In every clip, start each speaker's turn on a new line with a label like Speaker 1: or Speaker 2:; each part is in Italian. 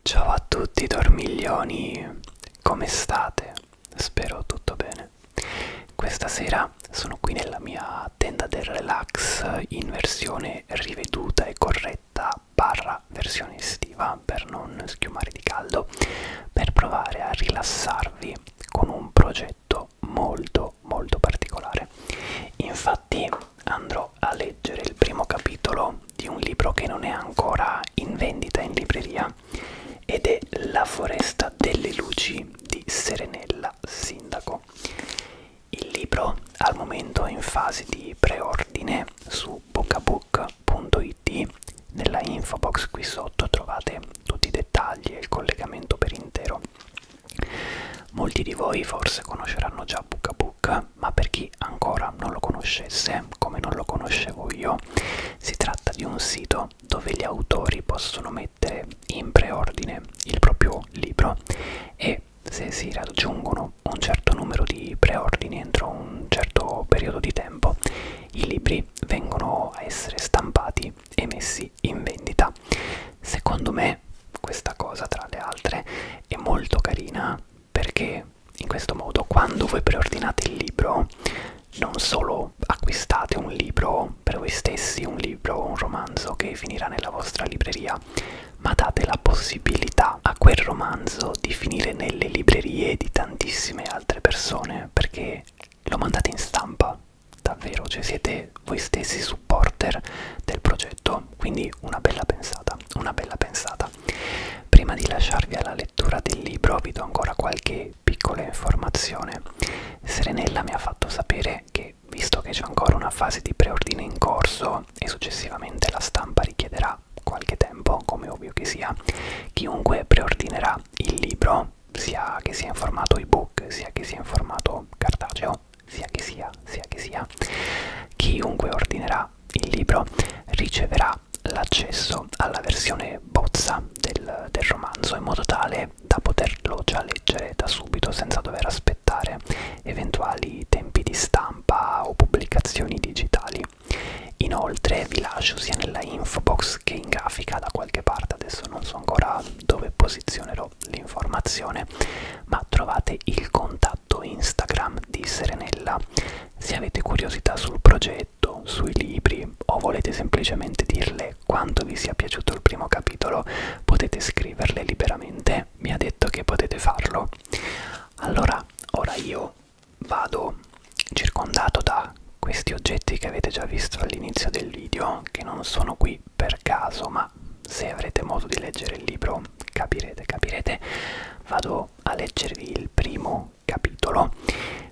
Speaker 1: Ciao a tutti dormiglioni, come state? Spero tutto bene. Questa sera sono qui nella mia tenda del relax in versione riveduta e corretta barra versione estiva per non schiumare di caldo, per provare a rilassarvi con un progetto molto molto particolare. Infatti andrò a leggere il primo capitolo di un libro che non è ancora in vendita in libreria ed è La foresta delle luci di Serenella Sindaco. Il libro al momento è in fase di preordine su bookabook.it. Nella info box qui sotto trovate tutti i dettagli e il collegamento per intero. Molti di voi forse conosceranno già Bookabook, ma per chi ancora non lo conoscesse, come non lo conoscevo io, si tratta di un sito dove gli autori possono mettere in preordine il proprio libro e se si raggiungono un certo numero di preordini entro un certo periodo di tempo, i libri vengono a essere stampati e messi in vendita. Secondo me questa cosa, tra le altre, è molto carina perché in questo modo quando voi preordinate il libro non solo acquistate un libro per voi stessi, un libro o un romanzo che finirà nella vostra libreria, ma date la possibilità a quel romanzo di finire nelle librerie di tantissime altre persone perché lo mandate in stampa, davvero, cioè siete voi stessi supporter del progetto, quindi una bella pensata, una bella pensata. Prima di lasciarvi alla lettura, lettura del libro vi do ancora qualche piccola informazione. Serenella mi ha fatto sapere che, visto che c'è ancora una fase di preordine in corso e successivamente la stampa richiederà qualche tempo, come ovvio che sia, chiunque preordinerà il libro, sia che sia in formato ebook, sia che sia in formato cartaceo, sia che sia, sia che sia, chiunque ordinerà il libro riceverà dà l'accesso alla versione bozza del, del romanzo in modo tale da poterlo già leggere da subito senza dover aspettare eventuali tempi di stampa o pubblicazioni digitali. Inoltre vi lascio sia nella info box che in grafica da qualche parte, adesso non so ancora dove posizionerò l'informazione, ma trovate il contatto Instagram di Serenella. Se avete curiosità sul progetto, letto sui libri o volete semplicemente dirle quanto vi sia piaciuto il primo capitolo, potete scriverle liberamente, mi ha detto che potete farlo. Allora, ora io vado circondato da questi oggetti che avete già visto all'inizio del video, che non sono qui per caso, ma se avrete modo di leggere il libro capirete, capirete. Vado a leggervi il primo primo capitolo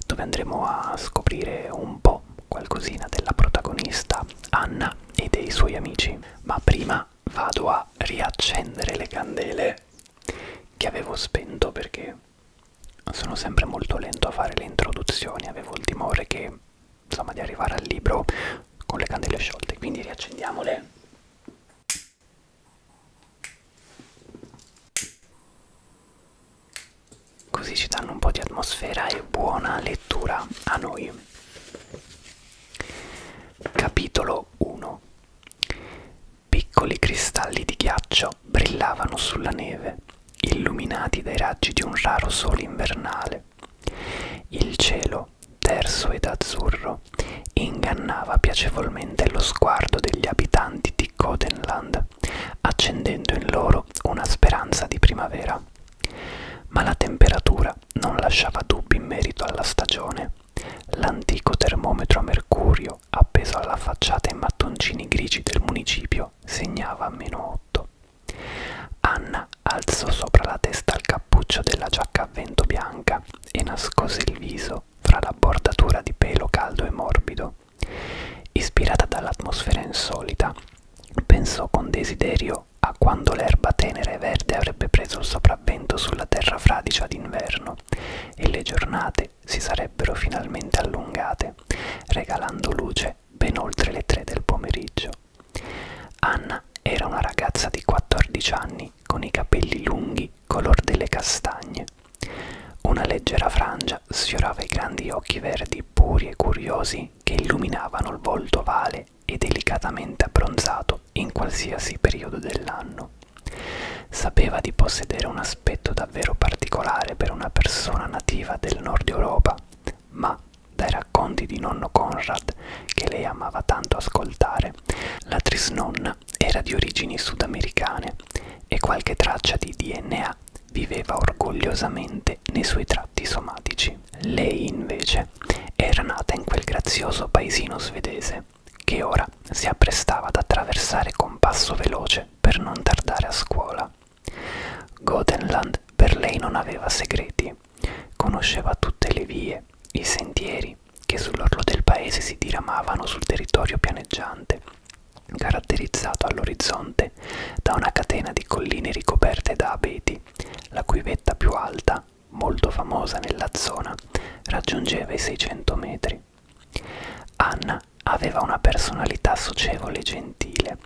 Speaker 1: dove andremo a scoprire un po' qualcosina della protagonista Anna e dei suoi amici. Ma prima vado a riaccendere le candele che avevo spento perché sono sempre molto lento a fare le introduzioni, avevo il timore che insomma di arrivare al libro con le candele sciolte, quindi riaccendiamole. Così ci danno un po' di atmosfera e buona lettura a noi. Capitolo 1 Piccoli cristalli di ghiaccio brillavano sulla neve, illuminati dai raggi di un raro sole invernale. Il cielo, terso ed azzurro, ingannava piacevolmente lo sguardo degli abitanti di Codenland, accendendo in loro una speranza di primavera. Ma la temperatura non lasciava dubbi in merito alla stagione. L'antico termometro a mercurio appeso alla facciata in mattoncini grigi del municipio segnava meno 8. Anna alzò sopra la testa il cappuccio della giacca a vento bianca e nascose il viso fra la bordatura di pelo caldo e morbido. Ispirata dall'atmosfera insolita, pensò con desiderio a quando l'erba tenera e verde avrebbe preso il sopravvento sulla terra fradicia d'inverno e le giornate si sarebbero finalmente allungate, regalando luce ben oltre le tre del pomeriggio. Anna era una ragazza di 14 anni con i capelli lunghi color delle castagne. Una leggera frangia sfiorava i grandi occhi verdi puri e curiosi che illuminavano il volto ovale e delicatamente abbronzato in qualsiasi periodo dell'anno. Sapeva di possedere un aspetto davvero particolare per una persona nativa del nord Europa, ma dai racconti di nonno Conrad, che lei amava tanto ascoltare, la trisnonna Luna era di origini sudamericane e qualche traccia di DNA viveva orgogliosamente nei suoi tratti somatici. Lei invece era nata in quel grazioso paesino svedese che ora si apprestava ad attraversare con passo veloce per non tardare a scuola. Gotenland per lei non aveva segreti, conosceva tutte le vie, i sentieri che sull'orlo del paese si diramavano sul territorio pianeggiante caratterizzato all'orizzonte da una catena di colline ricoperte da abeti, la cui vetta più alta, molto famosa nella zona, raggiungeva i 600 metri. Anna aveva una personalità socievole e gentile,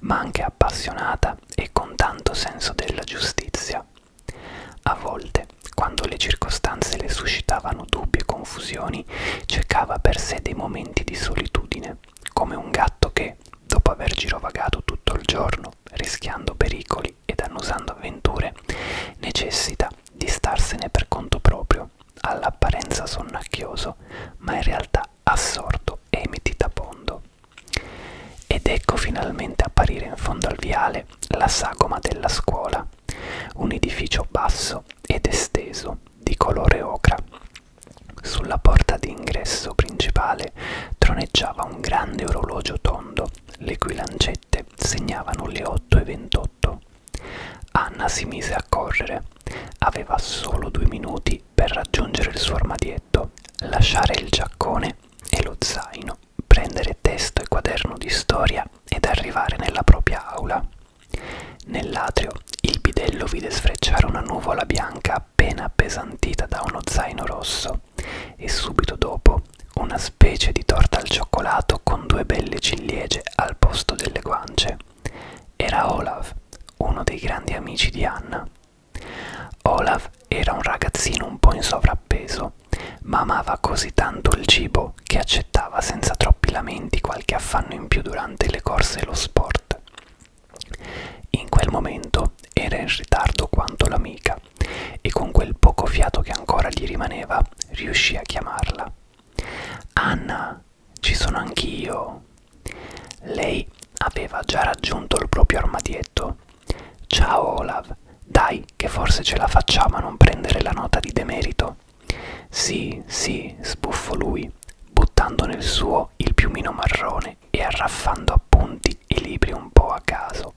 Speaker 1: ma anche appassionata e con tanto senso della giustizia. A volte, quando le circostanze le suscitavano dubbi e confusione, confusioni, cercava per sé dei momenti di solitudine, come un gatto che, dopo aver girovagato tutto il giorno, rischiando pericoli ed annusando avventure, necessita di starsene per conto proprio, all'apparenza sonnacchioso, ma in realtà assorto e meditabondo. Ed ecco finalmente apparire in fondo al viale la sagoma della scuola, un edificio basso luminoso ed esteso di colore ocra. Sulla porta d'ingresso principale troneggiava un grande orologio tondo, le cui lancette segnavano le 8.28. Anna si mise a correre. Aveva solo due minuti per raggiungere il suo armadietto, lasciare il giaccone e lo zaino, prendere testo e quaderno di storia ed arrivare nella propria aula. Nell'atrio il bidello vide sfrecciare una nuvola bianca appena appesantita da uno zaino rosso e subito dopo una specie di torta al cioccolato con due belle ciliegie al posto delle guance. Era Olaf, uno dei grandi amici di Anna. Olaf era un ragazzino un po' in sovrappeso, ma amava così tanto il cibo italiano che accettava senza troppi lamenti qualche affanno in più durante le corse e lo sport. In quel momento era in ritardo quanto l'amica e con quel poco fiato che ancora gli rimaneva riuscì a chiamarla. Anna, ci sono anch'io. Lei aveva già raggiunto il proprio armadietto. Ciao Olav, dai che forse ce la facciamo a non prendere la nota di demerito. Sì, sì, sbuffò lui, buttando nel suo il piumino marrone e arraffando appunti e libri un po' a caso.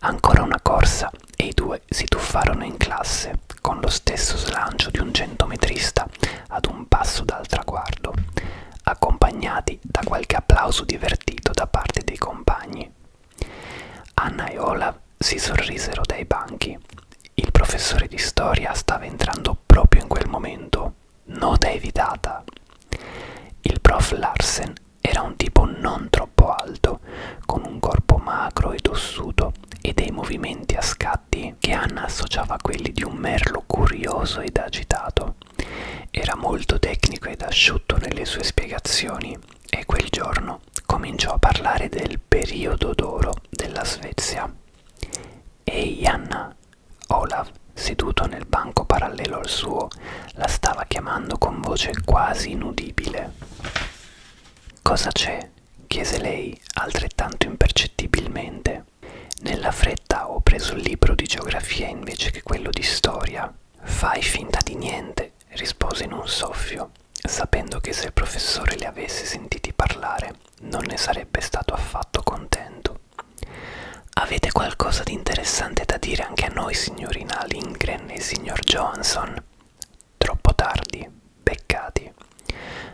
Speaker 1: Ancora una corsa e i due si tuffarono in classe, con lo stesso slancio di un centometrista ad un passo dal traguardo, accompagnati da qualche applauso divertito da parte dei compagni. Anna e Olaf si sorrisero dai banchi. Il professore di storia stava entrando proprio in quel momento. Nota evitata. Il prof Larsen era un tipo non troppo alto, con un corpo magro e tossuto e dei movimenti a scatti che Anna associava a quelli di un merlo curioso ed agitato. Era molto tecnico ed asciutto nelle sue spiegazioni e quel giorno italiano cominciò a parlare del periodo d'oro della Svezia e Ianna Olaf, seduto nel banco parallelo al suo, la stava chiamando con voce quasi inudibile. Cosa c'è? chiese lei altrettanto impercettibilmente. Nella fretta ho preso il libro di geografia invece che quello di storia. Fai finta di niente, rispose in un soffio sapendo che se il professore li avesse sentiti parlare non ne sarebbe stato affatto contento. Avete qualcosa di interessante da dire anche a noi, signorina Lindgren e signor Johansson? Troppo tardi, beccati.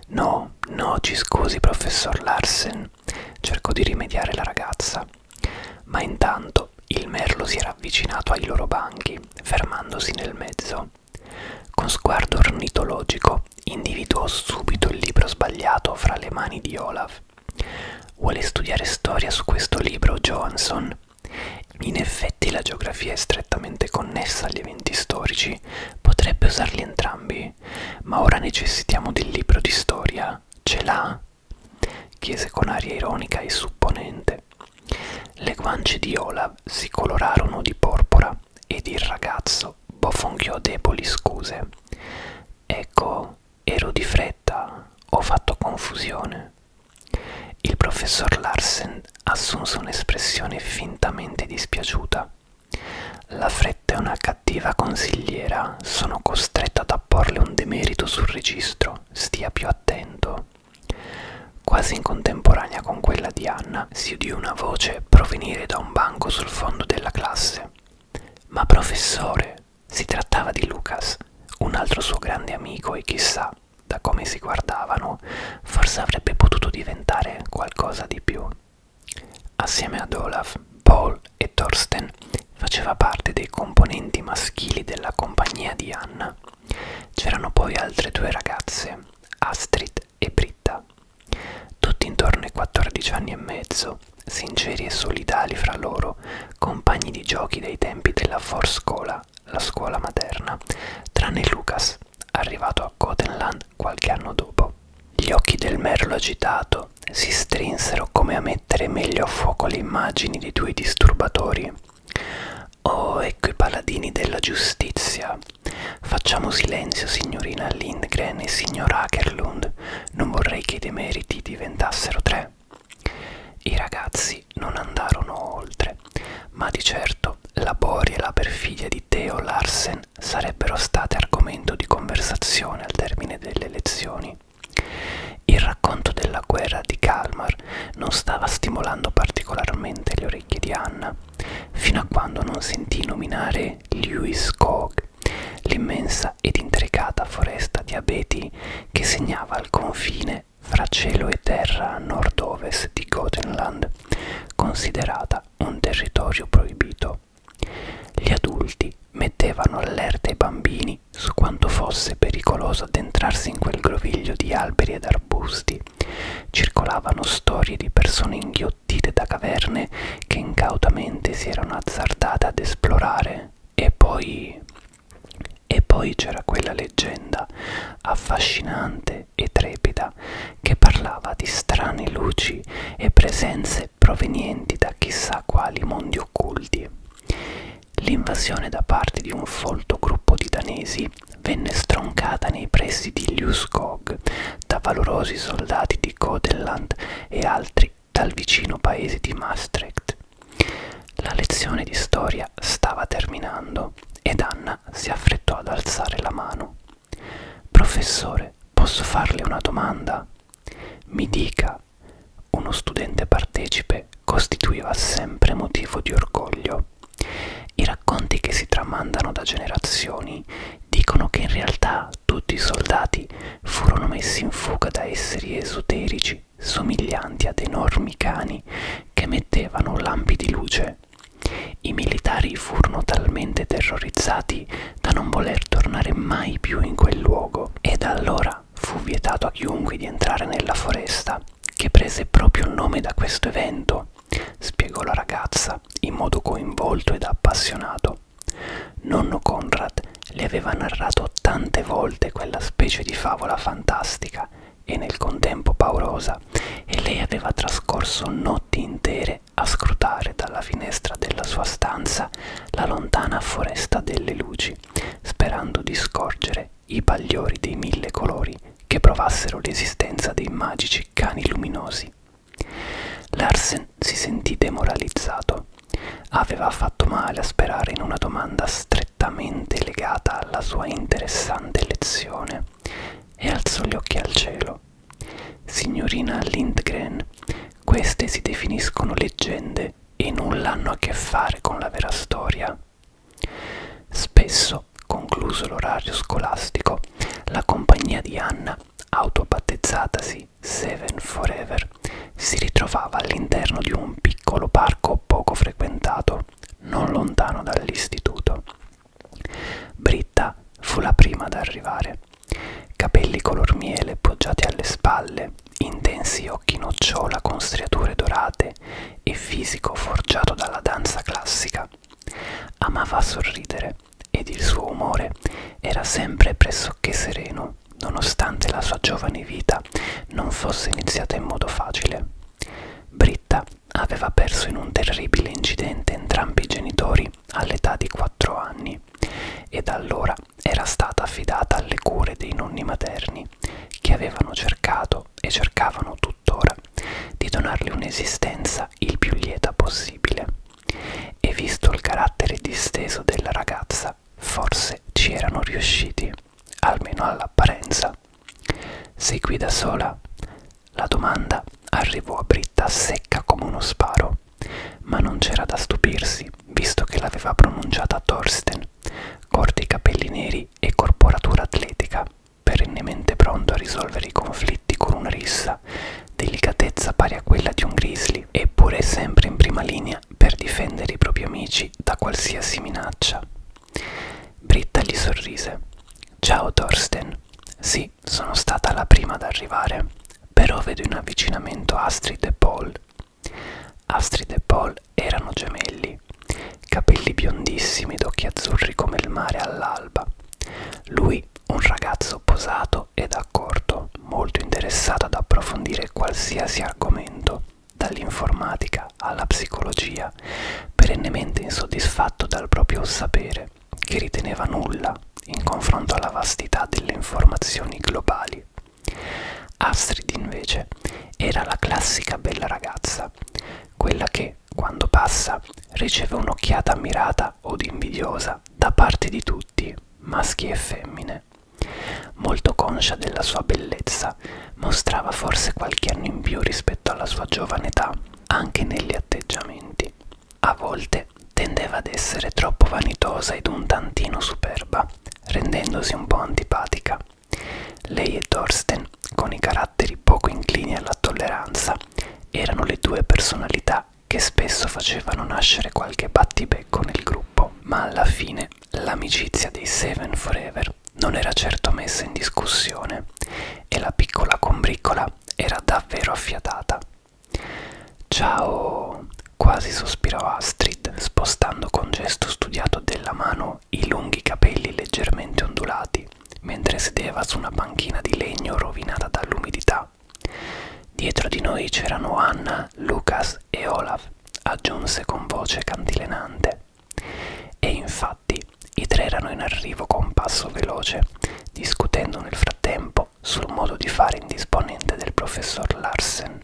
Speaker 1: No, no, ci scusi, professor Larsen, cercò di rimediare la ragazza. Ma intanto il merlo si era avvicinato ai loro banchi, fermandosi nel mezzo. Con sguardo ornitologico individuò subito il libro sbagliato fra le mani di Olaf. Vuole studiare storia su questo libro, Johansson? In effetti la geografia è strettamente connessa agli eventi storici, potrebbe usarli entrambi, ma ora necessitiamo del libro di storia. Ce l'ha? chiese con aria ironica e supponente. Le guance di Olaf si colorarono di porpora terra ed il ragazzo bofonchiò deboli scuse. Ecco, ero di fretta, ho fatto confusione. Il professor Larsen assunse un'espressione fintamente dispiaciuta. La fretta è una cattiva consigliera, sono costretta ad apporle un demerito sul registro, stia più attento. Quasi in contemporanea con quella di Anna si udì una voce provenire da un banco sul fondo della classe. Ma professore, si trattava di Lucas, un altro suo grande amico e chissà, da come si guardavano, forse avrebbe potuto diventare qualcosa di più. Assieme ad Olaf, Paul e Thorsten faceva parte dei componenti maschili della compagnia di Anna. C'erano poi altre due ragazze, Astrid e Britta. Tutti intorno ai 14 anni e mezzo, sinceri e solidali fra loro, compagni di giochi dei tempi della Forscola, la scuola materna, tranne Lucas, arrivato a Cotenland qualche anno dopo. Gli occhi del merlo agitato si strinsero come a mettere meglio a fuoco le immagini dei due disturbatori. Oh, ecco i paladini della giustizia. Facciamo silenzio, signorina Lindgren e signor Akerlund. Non vorrei che i demeriti diventassero tre. I ragazzi non andarono oltre, ma di certo la boria e la perfidia di Theo Larsen sarebbero state argomento di conversazione al termine delle elezioni. Il racconto della guerra di Kalmar non stava stimolando particolarmente le orecchie di Anna, fino a quando non sentì nominare Lewis Cog, l'immensa ed intricata foresta di abeti che segnava il confine fra cielo e terra a nord-ovest di Gothenland, considerata un territorio proibito. Gli adulti mettevano allerta ai bambini su quanto fosse pericoloso addentrarsi in quel groviglio di alberi ed arbusti parenti. Circolavano storie di persone inghiottite da caverne che incautamente si erano azzardate ad esplorare. E poi... E poi c'era quella leggenda, affascinante e trepida, che parlava di strane luci e presenze provenienti da chissà quali mondi occulti. L'invasione da parte di un folto gruppo di danesi venne stroncata nei pressi di Liuskog da valorosi soldati di Godeland e altri dal vicino paese di Maastricht. La lezione di storia stava terminando ed Anna si affrettò ad alzare la mano. Professore, posso farle una domanda? Mi dica, uno studente partecipe costituiva sempre motivo di orgoglio. I racconti che si tramandano da generazioni dicono che in realtà tutti i soldati furono messi in fuga da esseri esoterici somiglianti ad enormi cani che mettevano lampi di luce. I militari furono talmente terrorizzati da non voler tornare mai più in quel luogo e da allora fu vietato a chiunque di entrare nella foresta, che prese proprio il nome da questo evento spiegò la ragazza in modo coinvolto ed appassionato. Nonno Conrad le aveva narrato tante volte quella specie di favola fantastica e nel contempo paurosa, e lei aveva trascorso notti intere a scrutare dalla finestra della sua stanza la lontana foresta delle luci, sperando di scorgere i bagliori dei mille colori che provassero l'esistenza dei magici cani luminosi. Larsen si sentì demoralizzato. Aveva fatto male a sperare in una domanda strettamente legata alla sua interessante lezione e alzò gli occhi al cielo. Signorina Lindgren, queste si definiscono leggende e nulla hanno a che fare con la vera storia. Spesso stesso, concluso l'orario scolastico, la compagnia di Anna, autobattezzatasi Seven Forever, si ritrovava all'interno di un piccolo parco poco frequentato, non lontano dall'istituto. Britta fu la prima ad arrivare. Capelli color miele poggiati alle spalle, intensi occhi nocciola con striature dorate e fisico forgiato dalla danza classica, Amava sorridere ed il suo umore era sempre pressoché sereno, nonostante la sua giovane vita non fosse iniziata in modo facile. Britta aveva perso in un terribile incidente entrambi i genitori all'età di 4 anni e da allora era stata affidata alle cure dei nonni materni che avevano cercato e cercavano tuttora di donarle un'esistenza vita il più lieta possibile. E visto il carattere disteso della ragazza, forse ci erano riusciti, almeno all'apparenza. Sei qui da sola? La domanda arrivò a Britta secca come uno sparo, ma non c'era da stupirsi, visto che l'aveva pronunciata Thorsten, corti capelli neri e corporatura atletica perennemente pronto a risolvere i conflitti con una rissa, delicatezza pari a quella di un grizzly, eppure è sempre in prima linea per difendere i propri amici da qualsiasi minaccia. Britta gli sorrise. Ciao Thorsten. Sì, sono stata la prima ad arrivare, però vedo in avvicinamento Astrid e Paul. Astrid e Paul erano gemelli, capelli biondissimi ed occhi azzurri come il mare all'alba. Lui un ragazzo posato ed accorto, molto interessato ad approfondire qualsiasi argomento, dall'informatica alla psicologia, perennemente insoddisfatto dal proprio sapere, che riteneva nulla in confronto alla vastità delle informazioni globali. Astrid invece era la classica bella ragazza, quella che, quando passa, riceve un'occhiata ammirata sfidata od invidiosa da parte di tutti, maschi e femmine. Molto conscia della sua bellezza, mostrava forse qualche anno in più rispetto alla sua giovane età, anche negli atteggiamenti. A volte tendeva ad essere troppo vanitosa ed un tantino superba, rendendosi un po' antipatica. Lei e Thorsten, con i caratteri poco inclini alla tolleranza, erano le due personalità che spesso facevano nascere qualche battibecco nel gruppo, ma alla fine l'amicizia dei Seven Forever non era certo messa in discussione e la piccola combriccola era davvero affiatata. Ciao, quasi sospirò Astrid, spostando con gesto studiato della mano i lunghi capelli leggermente ondulati mentre sedeva su una panchina di legno rovinata dall'umidità. Dietro di noi c'erano Anna, Lucas e Olaf, aggiunse con voce cantilenante. E infatti i tre erano in arrivo con passo veloce, discutendo nel frattempo sul modo di fare indisponente del professor Larsen.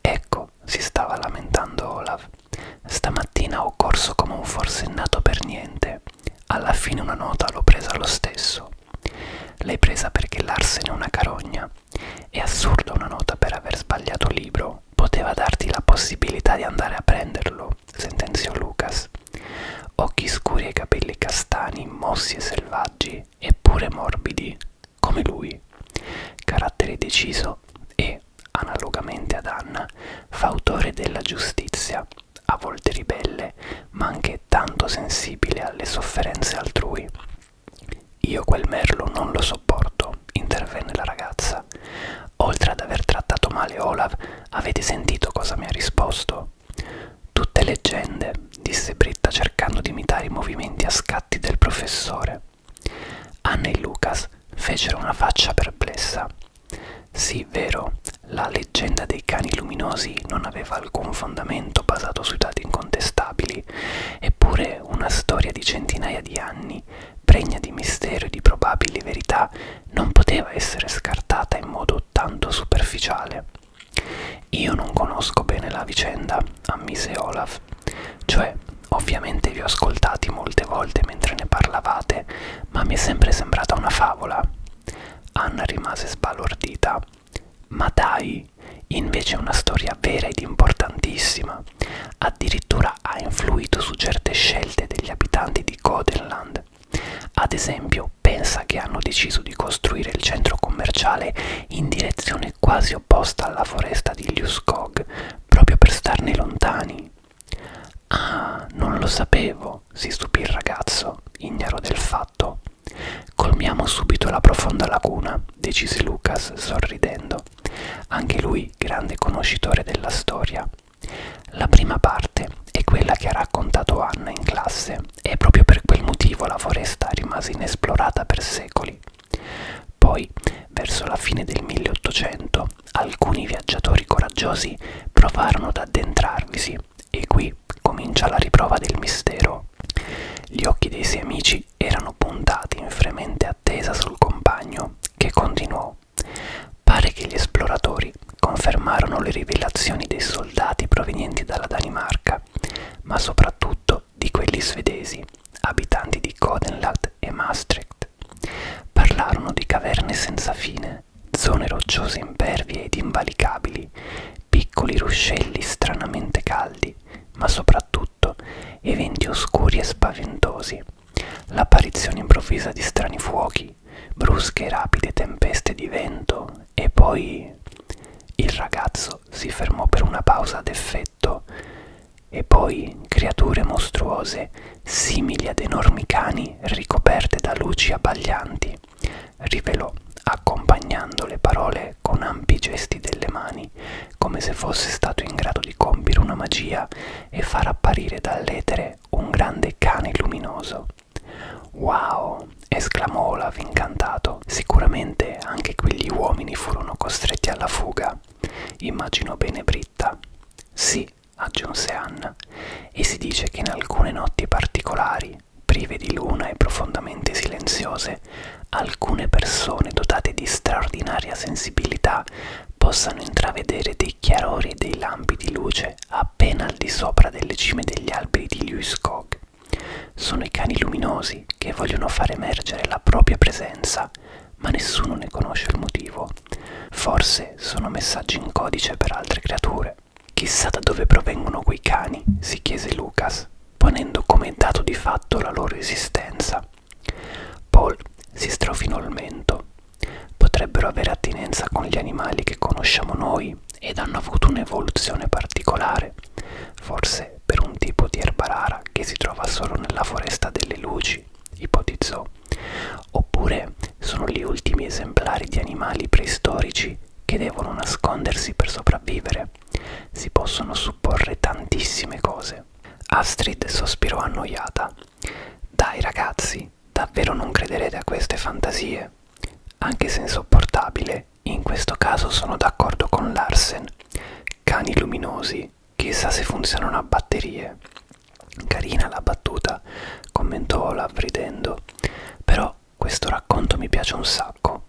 Speaker 1: Ecco, si stava lamentando Olaf. Stamattina ho corso come un forsennato per niente. Alla fine una nota l'ho presa lo stesso. L'hai presa perché Larsen è una carogna. È assurda una nota per aver sbagliato libro. Poteva darti la possibilità di andare a prenderlo, sentenziò Lucas. Occhi scuri e capelli castani, mossi e selvaggi, eppure morbidi, come lui. Carattere deciso e, analogamente ad Anna, fautore della giustizia, a volte ribelle, ma anche tanto sensibile alle sofferenze altrui. Io quel merlo non lo sopporto, intervenne la ragazza. Oltre ad aver trattato male Olaf, avete sentito cosa mi ha risposto? Tutte leggende, disse Britta cercando di imitare i movimenti a scatti del professore. Anna e Lucas fecero una faccia perplessa. Sì, vero, la leggenda dei cani luminosi non aveva alcun fondamento basato su dati incontestabili, eppure una storia di centinaia di anni, pregna di mistero e di probabili verità, non poteva essere scartata in modo tanto superficiale. Io non conosco bene la vicenda, ammise Olaf. Cioè, ovviamente vi ho ascoltati molte volte mentre ne parlavate, ma mi è sempre sembrata una favola. Anna rimase sbalordita. Ma dai, invece è una storia vera ed importantissima. Addirittura ha influito su certe scelte degli abitanti di Godenland. Ad esempio, pensa che hanno deciso di costruire il centro commerciale in direzione quasi opposta alla foresta di Liuskog, proprio per starne lontani. Ah, non lo sapevo. Ecco, si stupì il ragazzo, ignaro del fatto. Colmiamo subito la profonda lacuna, decise Lucas sorridendo, anche lui grande conoscitore della storia. La prima parte è quella che ha raccontato Anna in classe e proprio per quel motivo la foresta rimase inesplorata per secoli. Poi, verso la fine del 1800, alcuni viaggiatori coraggiosi provarono ad addentrarvisi e qui comincia la riprova del mistero. Gli occhi dei suoi amici erano puntati in fremente attesa sul compagno, che continuò. Pare che gli esploratori confermarono le rivelazioni dei soldati provenienti dalla Danimarca, ma soprattutto di quelli svedesi, abitanti di Codenland e Maastricht. Parlarono di caverne senza fine, zone rocciose impervie ed invalicabili, piccoli ruscelli stranamente caldi, ma soprattutto eventi oscuri e spaventosi, l'apparizione improvvisa di strani fuochi, brusche e rapide tempeste di vento e poi il ragazzo si fermò per una pausa ad effetto e poi creature mostruose simili ad enormi cani ricoperte da luci abbaglianti rivelò, accompagnando le parole con ampi gesti delle mani, come se fosse stato in grado di compiere una magia e far apparire dall'etere un grande cane luminoso. Wow! esclamò Olaf incantato. Sicuramente anche quegli uomini furono costretti alla fuga. Immaginò bene Britta. Sì, aggiunse Anna e si dice che in alcune notti particolari, prive di luna e profondamente silenziose, alcune persone dotate di straordinaria sensibilità possano intravedere dei chiarori e dei lampi di luce appena al di sopra delle cime degli alberi di Ljuskog. Sono i cani luminosi che vogliono far emergere la propria presenza, ma nessuno ne conosce il motivo. Forse sono messaggi in codice per altre creature. Chissà da dove provengono quei cani, si chiese Lucas, ponendo come dato di fatto la loro esistenza. Paul si strofinò il mento. Potrebbero avere attinenza con gli animali che conosciamo noi ed hanno avuto un'evoluzione particolare, forse per un tipo di erba rara che si trova solo nella foresta delle luci, ipotizzò, oppure sono gli ultimi esemplari di animali preistorici che devono nascondersi per sopravvivere. Si possono supporre tantissime cose. Astrid sospirò annoiata. Dai ragazzi, davvero non crederete a queste fantasie? Anche se insopportabile, in questo caso sono d'accordo con Larsen. Cani luminosi, chissà se funzionano a batterie. Carina la battuta, commentò Olaf ridendo. Però questo racconto mi piace un sacco.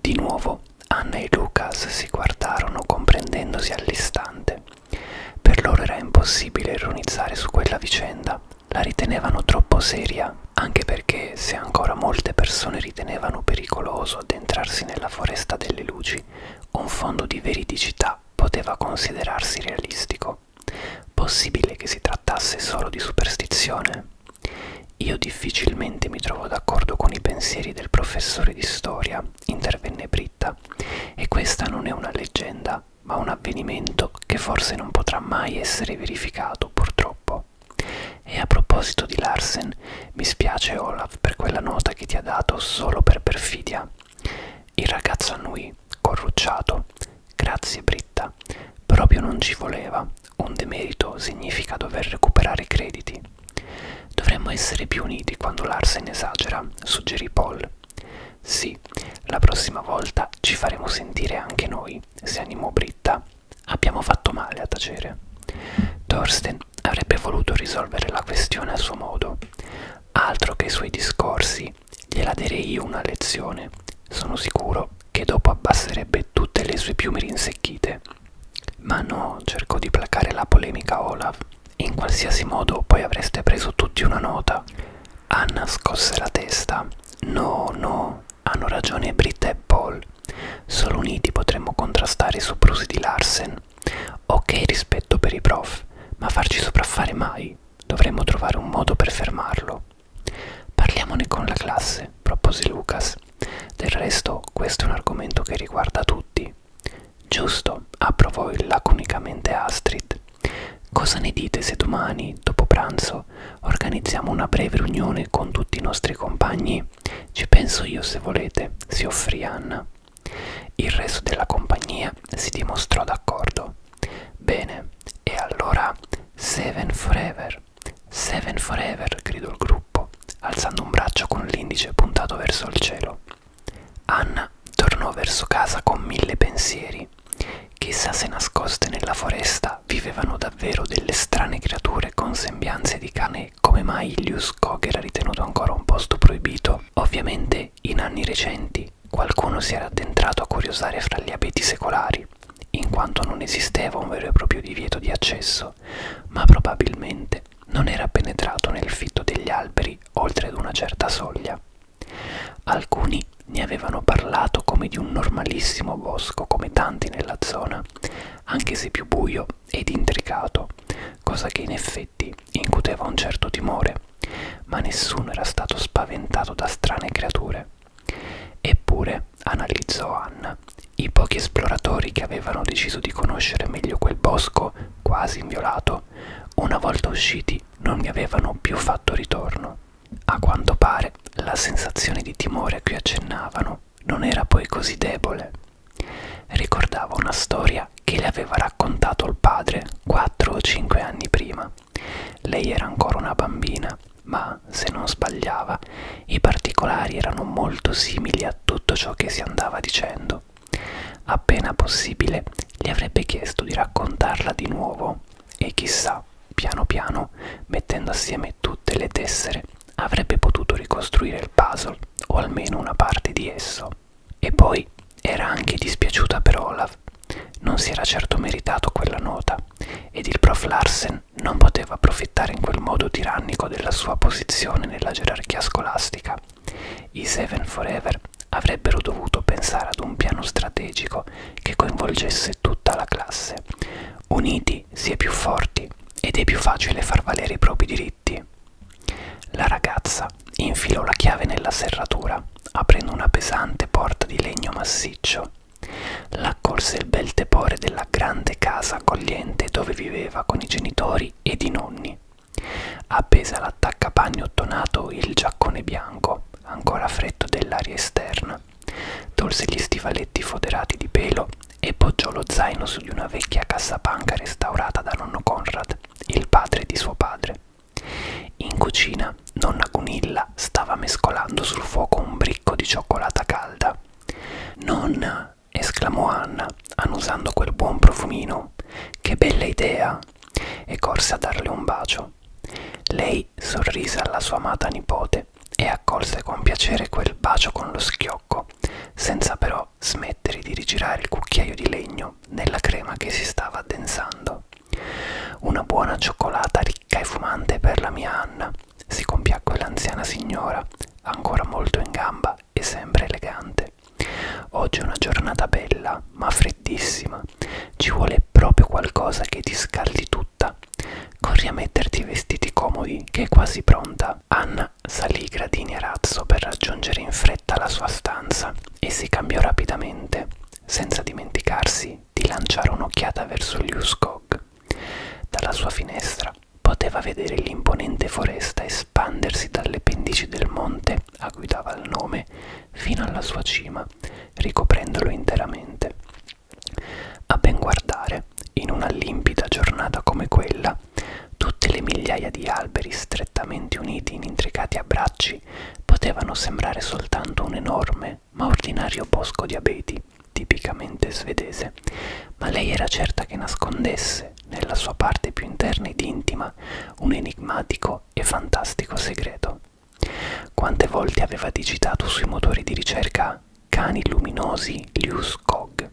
Speaker 1: Di nuovo, Anna e Lucas si guardarono comprendendosi all'istante. Per loro era impossibile ironizzare su quella vicenda, la ritenevano troppo seria, anche perché se ancora molte persone ritenevano pericoloso addentrarsi nella foresta delle luci, un fondo di veridicità poteva considerarsi realistico. Possibile che si trattasse solo di superstizione? Io difficilmente mi trovo d'accordo con i pensieri del professore di storia, intervenne Britta, e questa non è una leggenda, ma un avvenimento che forse non potrà mai essere verificato, purtroppo. E a proposito di Larsen, mi spiace Olaf per quella nota che ti ha dato solo per perfidia. Il ragazzo annui, Corrucciato. Grazie Britta. Proprio non ci voleva. Un demerito significa dover recuperare i crediti. Dovremmo essere più uniti quando Larsen esagera, suggerì Paul. Sì, la prossima volta ci faremo sentire anche noi, si animò Britta. Abbiamo fatto male a tacere. Thorsten avrebbe voluto risolvere la questione a suo modo. Altro che i suoi discorsi Harry gliela darei io una lezione. Sono sicuro che dopo abbasserebbe tutte le sue piume rinsecchite. Ma no, cercò di placare la polemica Olaf. In qualsiasi modo poi avreste preso tutti una nota. Anna scosse la testa. No, no, hanno ragione Britta e Paul. Solo uniti potremmo contrastare i soprusi di Larsen. Ok rispetto per i prof, ma farci sopraffare mai. Dovremmo trovare un modo per fermarlo. Parliamone con la classe, propose Lucas. Del resto, questo è un argomento che riguarda tutti. Giusto, approvò laconicamente Astrid. Cosa ne dite se domani, dopo pranzo, organizziamo una breve riunione con tutti i nostri compagni? Ci penso io se volete, si offrì Anna. Il resto della compagnia si dimostrò d'accordo. Bene, e allora Seven Forever. Seven Forever, gridò il gruppo, alzando un braccio con l'indice puntato verso il cielo. Anna tornò verso casa con mille pensieri. Chissà se nascoste nella foresta vivevano davvero delle strane creature con sembianze di cane come mai Ilius Kog era ritenuto ancora un posto proibito. Ovviamente in anni recenti qualcuno si era addentrato a curiosare fra gli abeti secolari in quanto non esisteva un vero e proprio divieto di accesso, ma probabilmente non era penetrato nel fitto degli alberi oltre ad una certa soglia. Alcuni ne avevano parlato come di un normalissimo bosco, come tanti nella zona, anche se più buio ed intricato, cosa che in effetti incuteva un certo timore, ma nessuno era stato spaventato da strane creature. Eppure, analizzò Anna, i pochi esploratori che avevano deciso di conoscere meglio quel bosco, quasi inviolato, una volta usciti non ne avevano più fatto ritorno. A quanto pare, la sensazione di timore a cui accennavano non era poi così debole. Ricordava una storia che le aveva raccontato il padre quattro o cinque anni prima. Lei era ancora una bambina, ma, se non sbagliava, i particolari erano molto simili a tutto ciò che si andava dicendo. Appena possibile, gli avrebbe chiesto di raccontarla di nuovo e chissà, piano piano, mettendo assieme tutte le tessere, avrebbe potuto ricostruire il puzzle, o almeno una parte di esso. E poi era anche dispiaciuta per Olaf, non si era certo meritato quella nota, ed il prof Larsen non poteva approfittare in quel modo tirannico della sua posizione nella gerarchia scolastica. I Seven Forever avrebbero dovuto pensare ad un piano strategico che coinvolgesse tutta la classe. Uniti si è più forti ed è più facile far valere i propri diritti. La ragazza infilò la chiave nella serratura, aprendo una pesante porta di legno massiccio L'accorse il bel tepore della grande casa accogliente dove viveva con i genitori ed i nonni. Appese all'attaccapanni ottonato il giaccone bianco, ancora freddo dell'aria esterna. Tolse gli stivaletti foderati di pelo e poggiò lo zaino su di una vecchia cassapanca restaurata da nonno Conrad, il padre di suo padre. In cucina nonna Gunilla stava mescolando sul fuoco un bricco di cioccolata calda. Nonna, esclamò Anna, annusando quel buon profumino, che bella idea! e corse a darle un bacio. Lei sorrise alla sua amata nipote e accolse con piacere quel bacio con lo schiocco, senza però smettere di rigirare il cucchiaio di legno nella crema che si stava addensando. Una buona cioccolata ricca e fumante per la mia Anna, si compiacque l'anziana signora, ancora molto in gamba e sempre elegante. Oggi è una giornata bella, ma freddissima. Ci vuole proprio qualcosa che ti scaldi tutta. Corri a metterti i vestiti comodi, che è quasi pronta. Anna salì i gradini a razzo per raggiungere in fretta la sua stanza e si cambiò rapidamente, senza dimenticarsi di lanciare un'occhiata verso gli Uskog. Dalla sua finestra poteva vedere l'imponente foresta espandersi dalle pendici del monte a cui dava il nome fino alla sua cima, ricoprendolo interamente. A ben guardare, in una limpida giornata come quella, tutte le migliaia di alberi strettamente uniti in intricati abbracci potevano sembrare soltanto un enorme comune ma ordinario bosco di abeti, tipicamente svedese, ma lei era certa che nascondesse, nella sua parte più interna ed intima, un enigmatico e fantastico segreto. Quante volte aveva digitato sui motori di ricerca cani luminosi Lius Cog,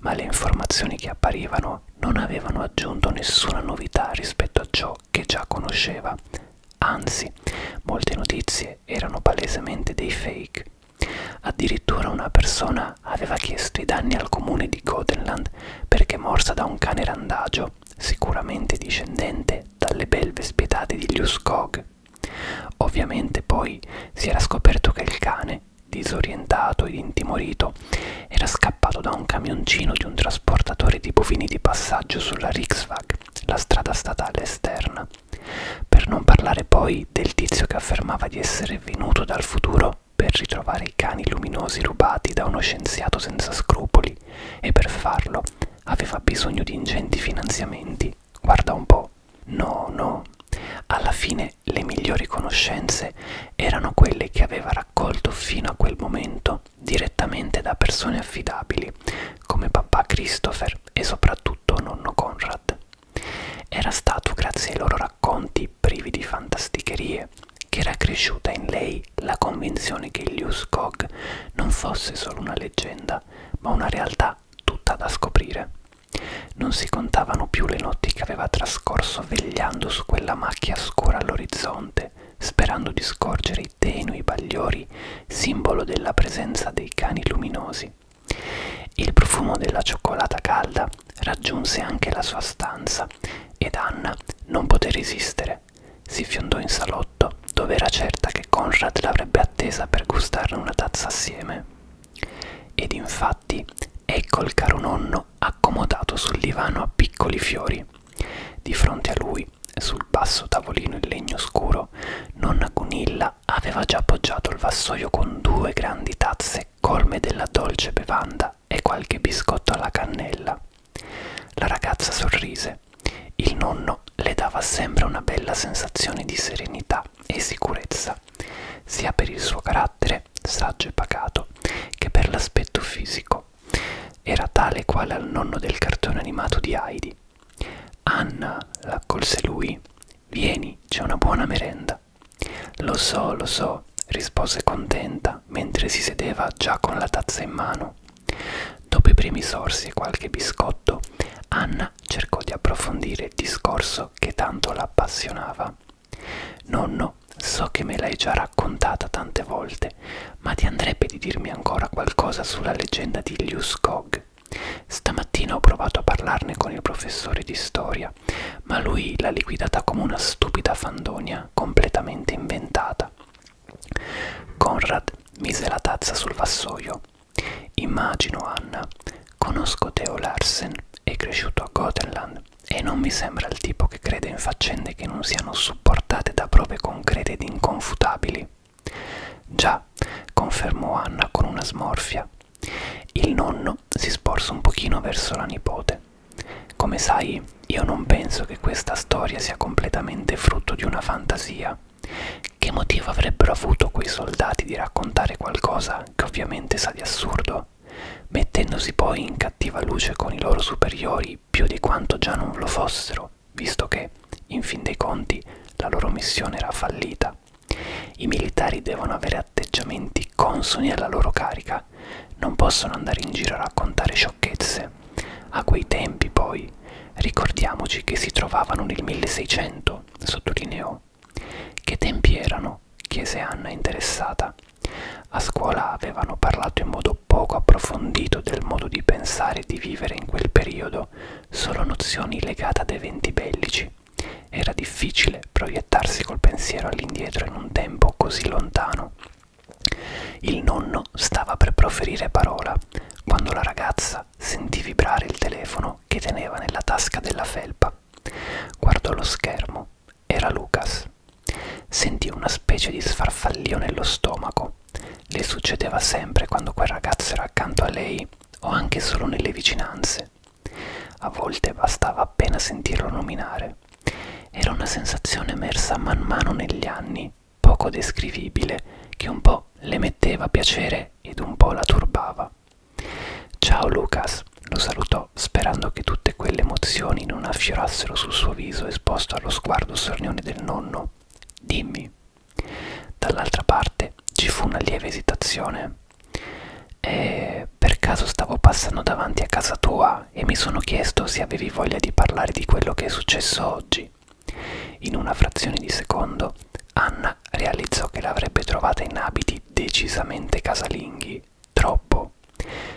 Speaker 1: ma le informazioni che apparivano non avevano aggiunto nessuna novità rispetto a ciò che già conosceva. Anzi, molte notizie notizie erano palesemente dei fake. Addirittura una persona aveva chiesto i danni al comune di Gothenland perché morsa da un cane randagio, sicuramente discendente dalle belve spietate di Liuskog. Ovviamente poi si era scoperto che il cane, disorientato ed intimorito, era scappato da un camioncino di un trasportatore di bovini di passaggio sulla Riksvag, la strada statale esterna, per non parlare poi del tizio che affermava di essere venuto dal futuro per ritrovare i cani luminosi rubati da uno scienziato senza scrupoli e per farlo aveva bisogno di ingenti finanziamenti. Guarda un po'. No, no. Alla fine le migliori conoscenze erano quelle che aveva raccolto fino a quel momento direttamente da persone affidabili come papà Christopher e soprattutto soprattutto nonno Conrad. Era stato grazie ai loro racconti privi di fantasticherie che era cresciuta in lei la convinzione che il Liuskog non fosse solo una leggenda, ma una realtà tutta da scoprire. Non si contavano più le notti che aveva trascorso vegliando su quella macchia scura all'orizzonte, sperando di scorgere dai tenui bagliori, simbolo della presenza dei cani luminosi. Il profumo della cioccolata calda raggiunse anche la sua stanza ed Anna non poté resistere. Si fiondò in salotto, dove era certa che Conrad l'avrebbe attesa per gustarne una tazza assieme. Ed infatti, ecco il caro nonno accomodato sul divano a piccoli fiori. Di fronte a lui, sul basso tavolino in legno scuro, nonna Gunilla Elena aveva già appoggiato il vassoio con due grandi tazze colme della dolce bevanda e qualche biscotto alla cannella. La ragazza sorrise. Il nonno le dava sempre una bella sensazione di serenità e sicurezza, sia per il suo carattere, saggio e pacato, che per l'aspetto fisico. Era tale quale al nonno del cartone animato di Heidi. Anna l'accolse lui. Vieni, c'è una buona merenda. Lo so, lo so, rispose contenta mentre si sedeva già con la tazza in mano. Dopo i primi sorsi e qualche biscotto, Anna cercò di approfondire il discorso che tanto la appassionava. Nonno, so che me l'hai già raccontata tante volte, ma ti andrebbe di dirmi ancora qualcosa sulla leggenda di Liu Skog. Stamattina ho provato a parlarne con il professore di storia, ma lui l'ha liquidata come una stupida fandonia completamente inventata. Conrad mise la tazza sul vassoio. Immagino Anna. Conosco Theo Larsen, è cresciuto a Gothenland e non mi sembra il tipo che crede in faccende che non siano supportate da prove concrete ed inconfutabili. Già, confermò Anna con una smorfia. Il nonno si sporse un pochino verso la nipote. Come sai, io non penso che questa storia sia completamente frutto di una fantasia. Che motivo avrebbero avuto quei soldati di raccontare qualcosa che ovviamente sa di assurdo, mettendosi poi in cattiva luce con i loro superiori più di quanto già non lo fossero, visto che, in fin dei conti, la loro missione era fallita. I militari devono avere atteggiamenti consoni alla loro carica, non possono andare in giro a raccontare sciocchezze. A quei tempi, poi, ricordiamoci che si trovavano nel 1600, sottolineò. Che tempi erano? chiese Anna interessata. A scuola avevano parlato in modo poco approfondito del modo di pensare e di vivere in quel periodo, solo nozioni legate ad eventi bellici. Era difficile proiettarsi col pensiero all'indietro in un tempo così lontano. Il nonno stava per proferire parola quando la ragazza sentì vibrare il telefono che teneva nella tasca della felpa. Guardò lo schermo. Era Lucas. Sentì una specie di sfarfallio nello stomaco. Le succedeva sempre quando quel ragazzo era accanto a lei o anche solo nelle vicinanze. A volte bastava appena sentirlo nominare. Era una sensazione emersa man mano negli anni, poco descrivibile, che un po' le metteva piacere ed un po' la turbava. Ciao Lucas, lo salutò sperando che tutte quelle emozioni non affiorassero sul suo viso esposto allo sguardo sornione del nonno. Dimmi, Dall'altra parte ci fu una lieve esitazione. E per caso stavo passando davanti a casa tua e mi sono chiesto se avevi voglia di parlare di quello che è successo oggi. In una frazione di secondo, Anna realizzò che l'avrebbe trovata in abiti decisamente casalinghi. Troppo.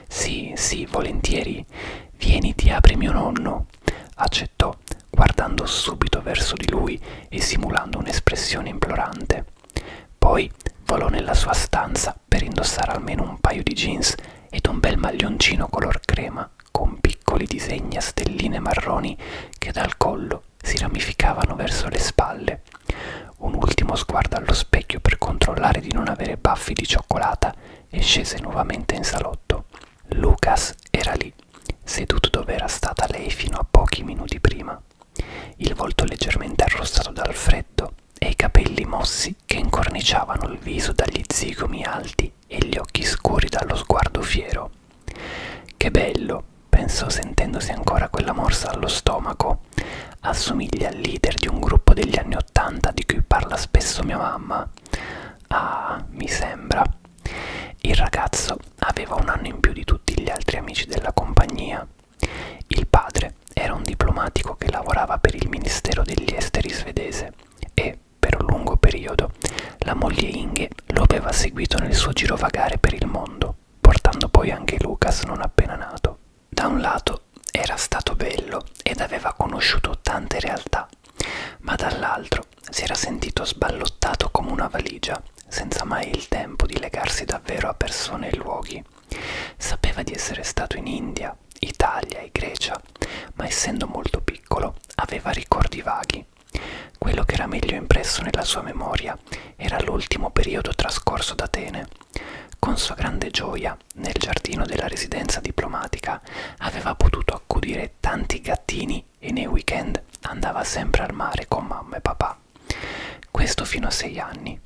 Speaker 1: Sì, sì, volentieri. Vieni, ti apri mio nonno. Accennò accettò, guardando subito verso di lui e simulando un'espressione implorante. Poi volò nella sua stanza per indossare almeno un paio di jeans ed un bel maglioncino color crema con piccoli disegni a stelline marroni che dal collo si ramificavano verso le spalle. Un ultimo sguardo allo specchio per controllare di non avere baffi di cioccolata e scese nuovamente in salotto. Lucas era lì, seduto dove era stata lei fino a pochi minuti prima, il volto leggermente arrossato dal freddo e i capelli mossi che incorniciavano il viso dagli zigomi alti e gli occhi scuri dallo sguardo fiero. Che bello, pensò sentendosi ancora quella morsa allo stomaco. Assomiglia al leader di un gruppo degli anni Ottanta di cui parla spesso mia mamma. Ah, mi sembra. Il ragazzo aveva un anno in più di tutti gli altri amici della compagnia. Il padre era un diplomatico che lavorava per il Ministero degli Esteri svedese e, per un lungo periodo, la moglie Inge lo aveva seguito nel suo girovagare per il mondo, portando poi anche Lucas non appena nato. Da un lato era stato bello ed aveva conosciuto tante realtà, ma dall'altro Antonio si era sentito sballottato come una valigia, senza mai il tempo di legarsi davvero a persone e luoghi. Sapeva di essere stato in India, Italia e Grecia, ma essendo molto piccolo aveva ricordi vaghi. Quello che era meglio impresso nella sua memoria era l'ultimo periodo trascorso ad Atene. Con sua grande gioia, nel giardino della residenza diplomatica, aveva potuto accudire tanti gattini e nei weekend andava sempre al mare con mamma e papà. Questo fino a sei anni.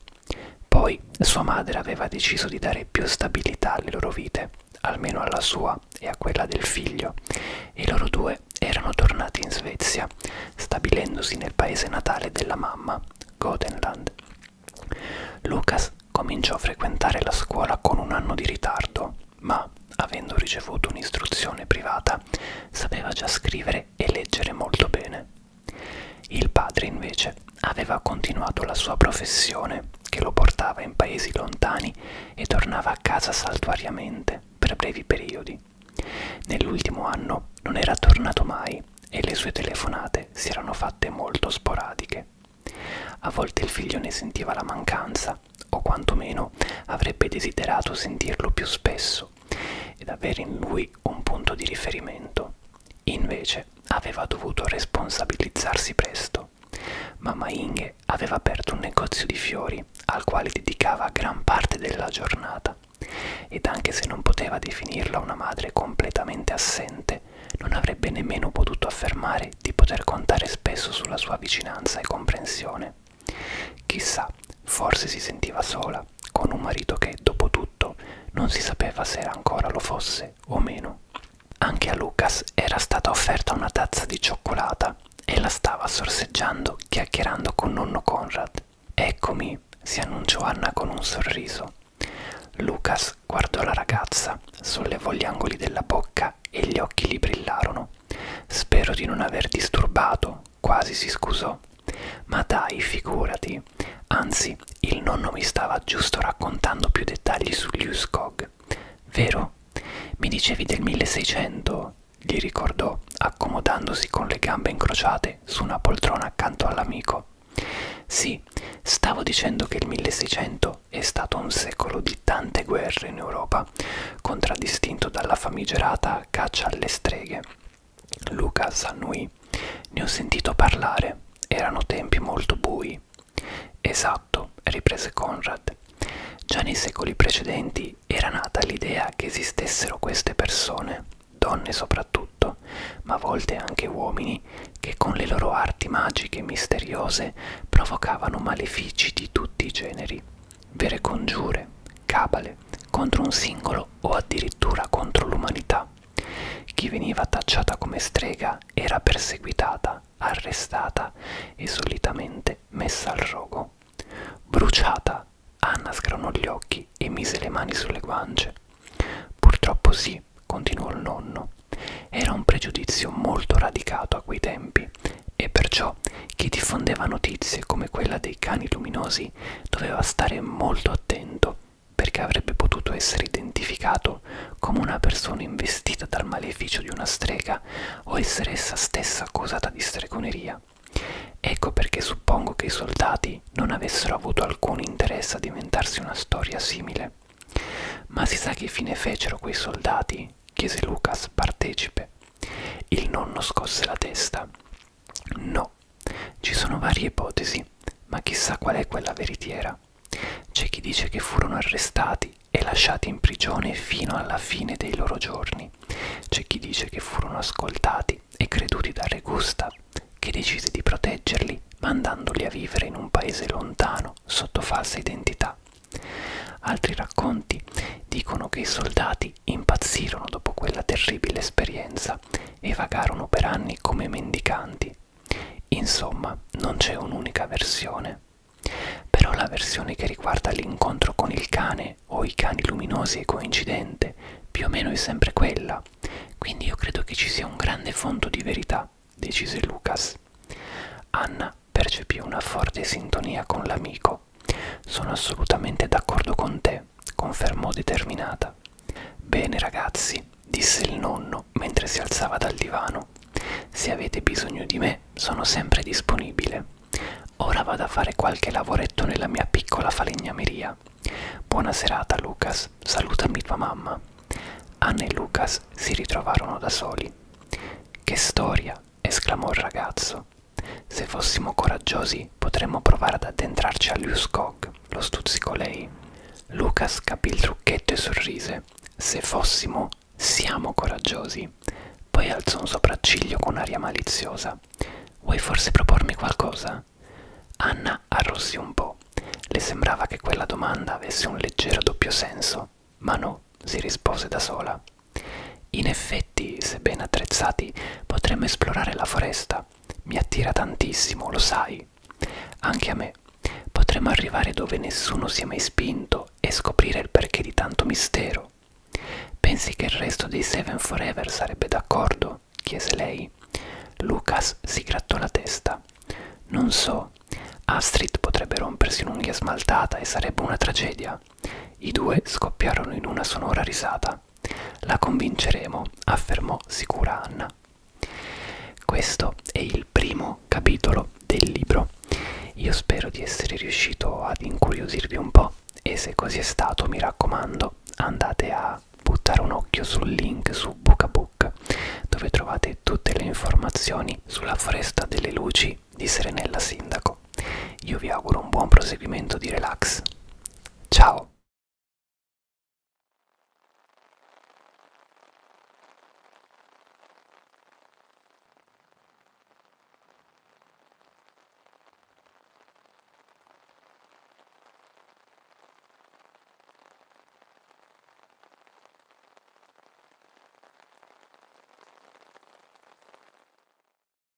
Speaker 1: Poi sua madre aveva deciso di dare più stabilità alle loro vite, almeno alla sua e a quella del figlio, e loro due erano tornati in Svezia, stabilendosi nel paese natale della mamma, Gothenland. Lucas cominciò a frequentare la scuola con un anno di ritardo ma avendo ricevuto un'istruzione privata sapeva già scrivere e leggere molto bene. Il padre invece aveva continuato la sua professione che lo portava in paesi lontani e tornava a casa saltuariamente per brevi periodi. Nell'ultimo anno non era tornato mai e le sue telefonate si erano fatte molto sporadiche. A volte il figlio ne sentiva la mancanza o quantomeno avrebbe desiderato sentirlo più spesso ed avere in lui un punto di riferimento. Invece aveva dovuto responsabilizzarsi presto. Mamma Inge aveva aperto un negozio di fiori al quale dedicava gran parte della giornata ed anche se non poteva definirla una madre completamente assente, non avrebbe nemmeno potuto affermare di poter contare spesso sulla sua vicinanza e comprensione. Chissà, forse si sentiva sola, con un marito che, dopo tutto, non si sapeva se ancora lo fosse o meno. Anche a Lucas era stata offerta una tazza di cioccolata e la stava sorseggiando chiacchierando con nonno Conrad. Eccomi, si annunciò Anna con un sorriso. Lucas guardò la ragazza, sollevò gli angoli della bocca e gli occhi gli brillarono. Spero di non aver disturbato, quasi si scusò. Ma dai, figurati. Anzi, il nonno mi stava giusto raccontando più dettagli sugli Uskog. Vero? Mi dicevi del 1600, gli ricordò, accomodandosi con le gambe incrociate su una poltrona accanto all'amico. Sì, stavo dicendo che il 1600 è stato un secolo di tante guerre in Europa contraddistinto dalla famigerata caccia alle streghe. Luca Sannui. Ne ho sentito parlare. Erano tempi molto bui. Esatto, riprese Conrad. Già nei secoli precedenti era nata l'idea che esistessero queste persone, donne soprattutto, ma a volte anche uomini, che con le loro arti magiche e misteriose provocavano malefici di tutti i generi vere congiure, cabale, contro un singolo o addirittura contro l'umanità. Chi veniva tacciata come strega era perseguitata, arrestata e solitamente messa al rogo. Bruciata, Anna sgranò gli occhi e mise le mani sulle guance. Purtroppo sì, continuò il nonno. Era un pregiudizio molto radicato a quei tempi e perciò chi diffondeva notizie come quella dei cani luminosi doveva stare molto attento perché avrebbe potuto essere identificato come una persona investita dal maleficio di una strega o essere essa stessa accusata di stregoneria. Ecco perché suppongo che i soldati non avessero avuto alcun interesse a diventarsi una storia simile. Ma si sa che fine fecero quei soldati? chiese Lucas, partecipe. Il nonno scosse la testa. No, ci sono varie ipotesi, ma chissà qual è quella veritiera. C'è chi dice che furono arrestati e lasciati in prigione fino alla fine dei loro giorni. C'è chi dice che furono ascoltati e creduti da Re Gustav, che decise di proteggerli mandandoli a vivere in un paese lontano sotto falsa identità. Altri racconti dicono che i soldati poi impazzirono dopo quella terribile esperienza e vagarono per anni come mendicanti. Insomma, non c'è un'unica versione. Però la versione che riguarda l'incontro con il cane o i cani luminosi è coincidente, più o meno è sempre quella. Quindi io credo che ci sia un grande fondo di verità, decise Lucas. Anna percepì una forte sintonia con l'amico sono assolutamente d'accordo con te, confermò determinata. Bene ragazzi, disse il nonno mentre si alzava dal divano. Se avete bisogno di me, sono sempre disponibile. Ora vado a fare qualche lavoretto nella mia piccola falegnameria. Buona serata, Lucas. Salutami tua mamma. Anna e Lucas si ritrovarono da soli. Che storia! esclamò il ragazzo. Se fossimo coraggiosi, potremmo provare ad addentrarci all'Uskog, lo stuzzicò lei. Lucas capì il trucchetto e sorrise. Se fossimo, siamo coraggiosi. Poi alzò un sopracciglio con aria maliziosa. Vuoi forse propormi qualcosa? Anna arrossì un po'. Le sembrava che quella domanda avesse un leggero doppio senso. Ma no, si rispose da sola. In effetti, se ben attrezzati, potremmo esplorare la foresta. Mi attira tantissimo, lo sai. Anche a me. Potremmo arrivare dove nessuno si è mai spinto e scoprire il perché di tanto mistero. Pensi che il resto dei Seven Forever sarebbe d'accordo? chiese lei. Lucas si grattò la testa. Non so. Astrid potrebbe rompersi un'unghia smaltata e sarebbe una tragedia. I due scoppiarono in una sonora risata vita. La convinceremo, affermò sicura Anna. Questo è il primo capitolo del libro. Io spero di essere riuscito ad incuriosirvi un po' e se così è stato mi raccomando andate a buttare un occhio sul link su Bookabook dove trovate tutte le informazioni sulla foresta delle luci di Serenella Sindaco ecco, io vi auguro un buon proseguimento di relax. Ciao!